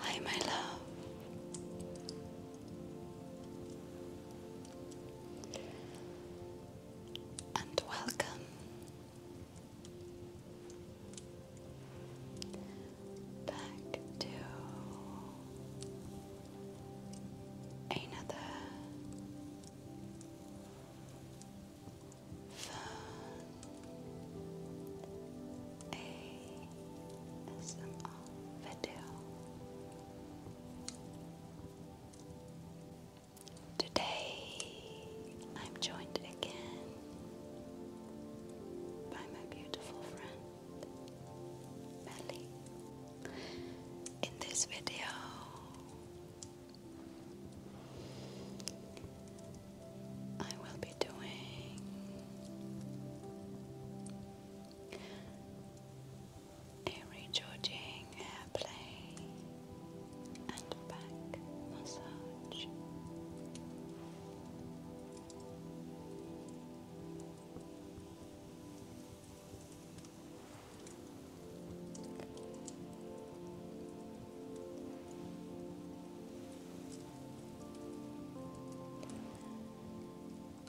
Hi, my love. And welcome. Back to another fun ASMR video. Today I'm joined again by my beautiful friend Melly. In this video, I will be doing a recharging hair play and back massage.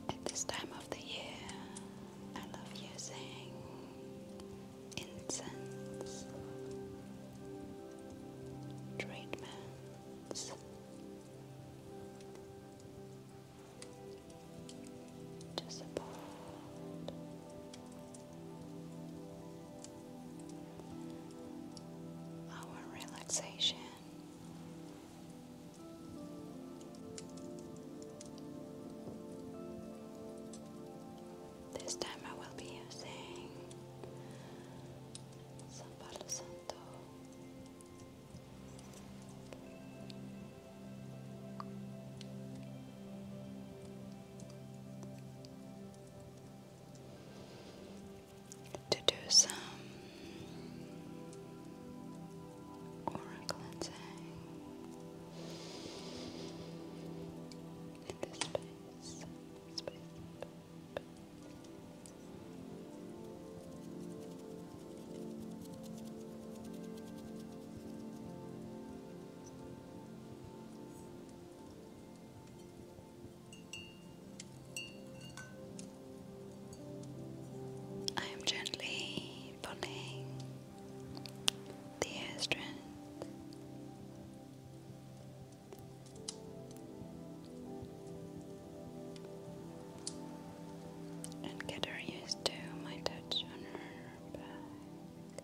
At this time of the year, I love using incense treatments. To support our relaxation this time I will be using some Palo Santo to do some aura cleansing in this space. I am gently pulling the hair And get her used to my touch on her back.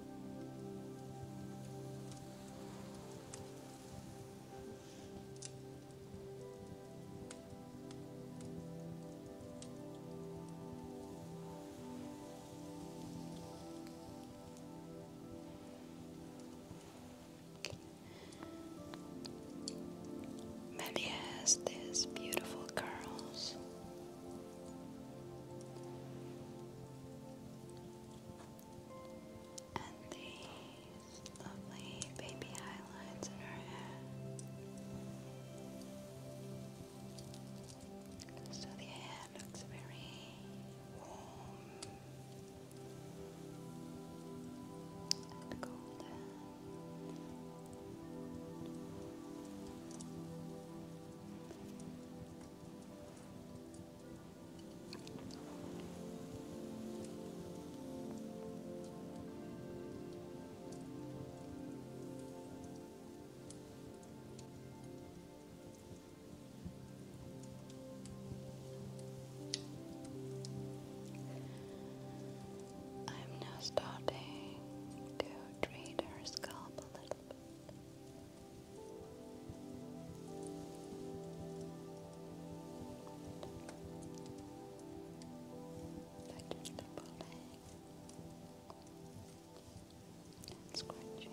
Melly has these beautiful curls and these lovely baby highlights in her hair. So the hair looks very warm and golden. I'm now starting to treat her scalp a little bit. That is the pulling and scratching. Good.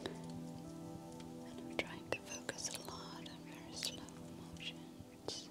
And I'm trying to focus a lot on very slow motions.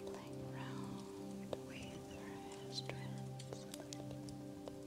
Playing around with her hair strands a little bit. Now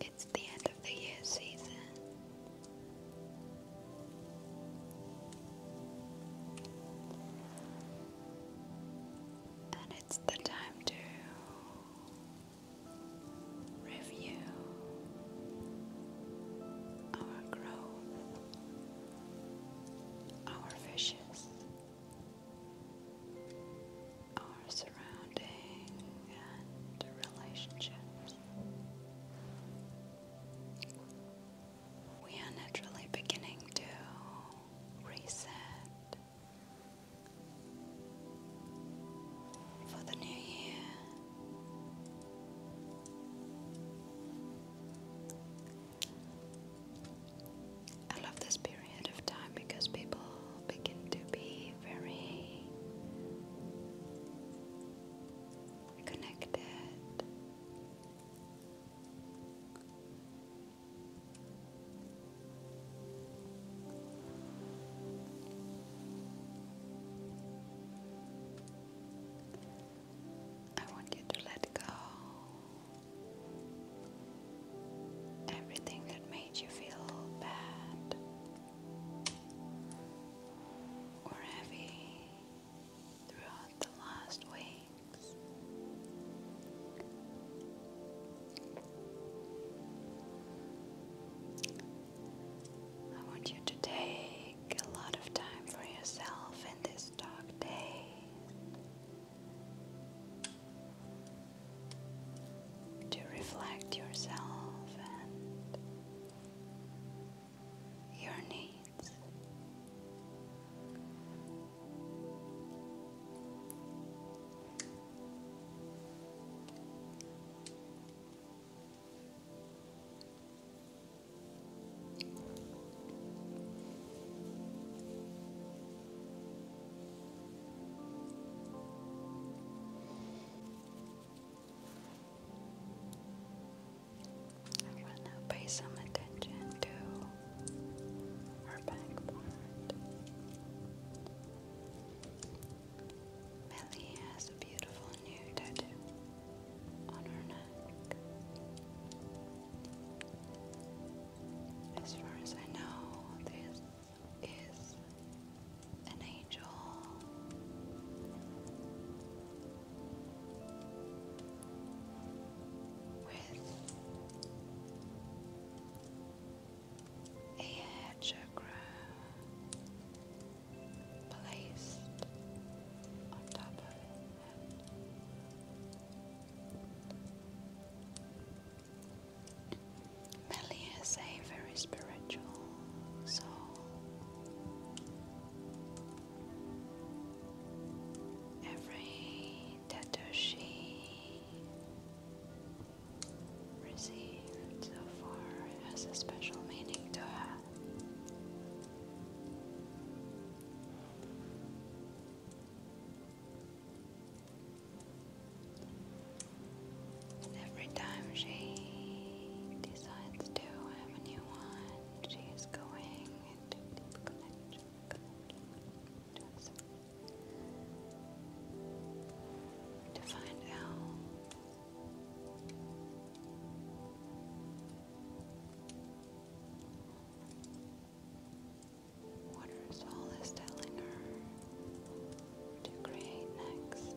It's the end of the year season. And it's the time to review our grove, our fishes, our surrounding and relationships. We are naturally beginning to reset for the new year. I love this period of time because people begin to be very connected. I want you to let go everything that made you feel bad or heavy throughout the last weeks. I want you to take a lot of time for yourself in this dark day. To reflect yourself and your needs. I want to pay some attention to our backboard. Melly has a beautiful new tattoo on her As far as I know, this is an angel. With a head placed on is a very spiritual soul. Every tattoo she received so far has a special meaning to her. Every time she decides to have a new one, she is going into deep connection to find out what her telling her to create next.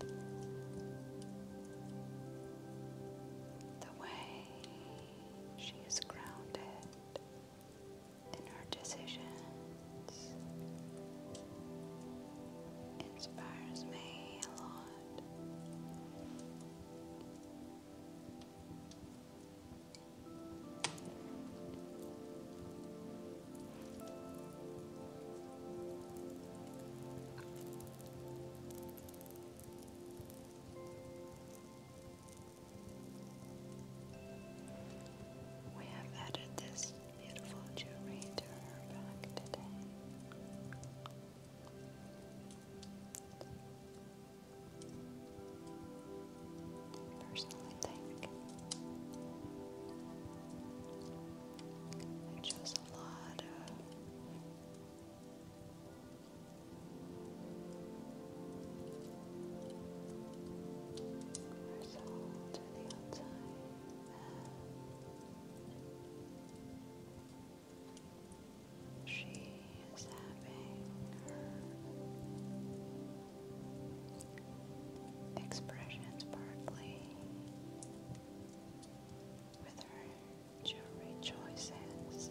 The way she is grounded in her decisions inspires me a lot. We have added this beautiful jewelry to her back today personally think it shows a lot of resolve to the outside and she is having expressions partly with her jewelry choices.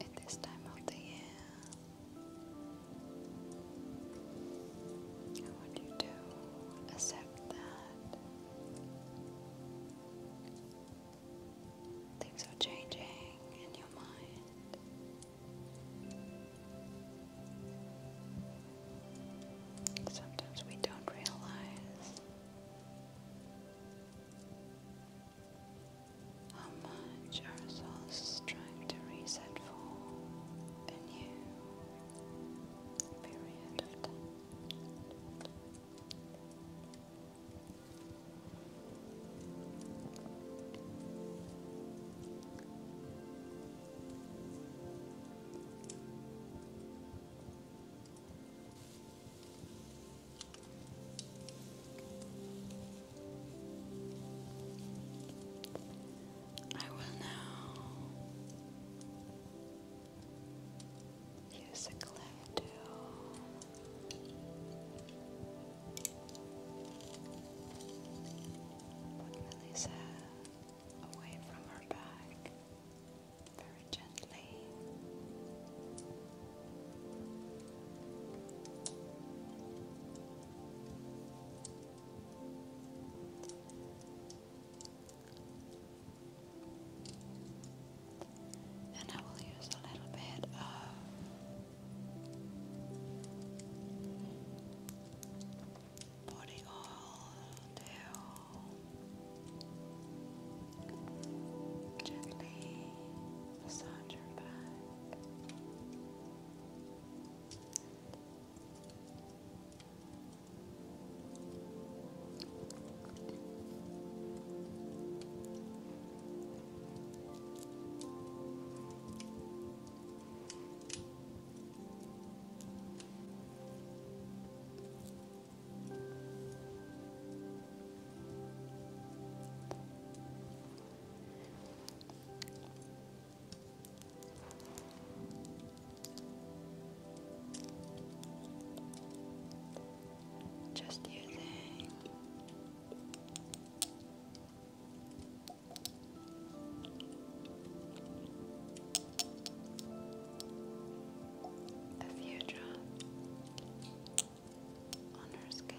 At this time of the year, I want you to accept that Things are changing in your mind. Sometimes we don't realize how much our souls is trying to reset for a new period of time. I will now use a cleanser do. Put away from her back very gently. And I will use a little bit of body oil to gently massage your back. Just using a few drops on her skin.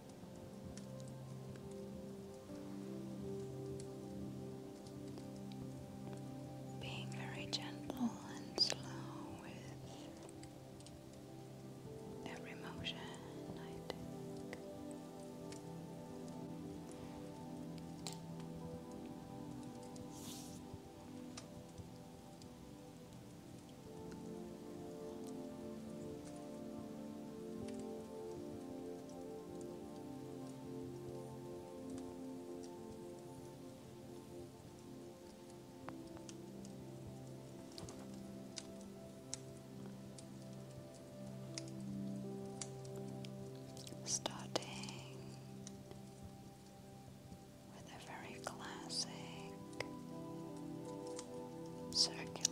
Being very gentle and slow with every motion, Starting with a very classic circular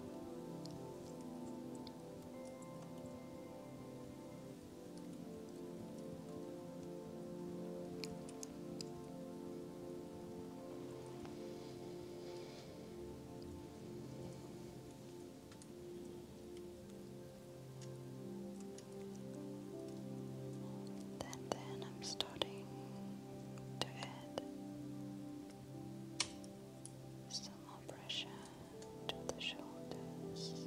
And then I'm starting to add some more pressure to the shoulders.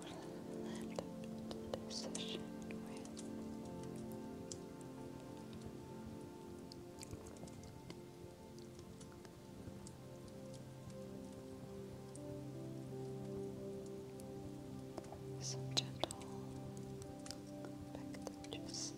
will end today's session with some gentle packages. Good.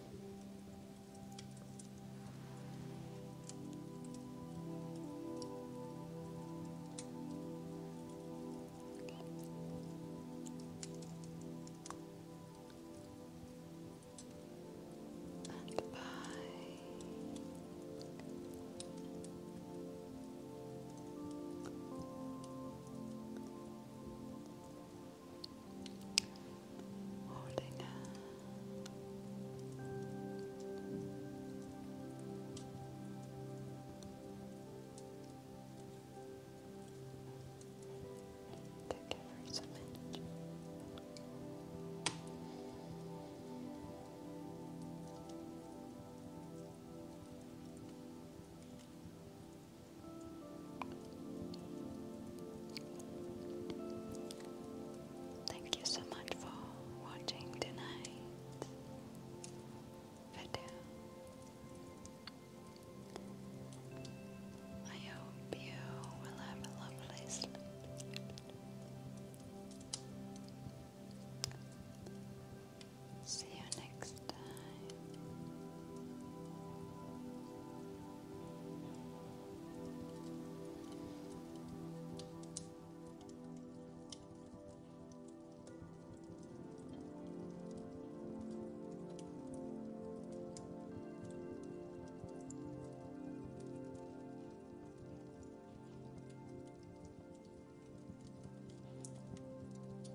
and bye holding her. To give her some energy. Thank you so much for watching tonight's video. I hope you will have a lovely sleep. See you next next time.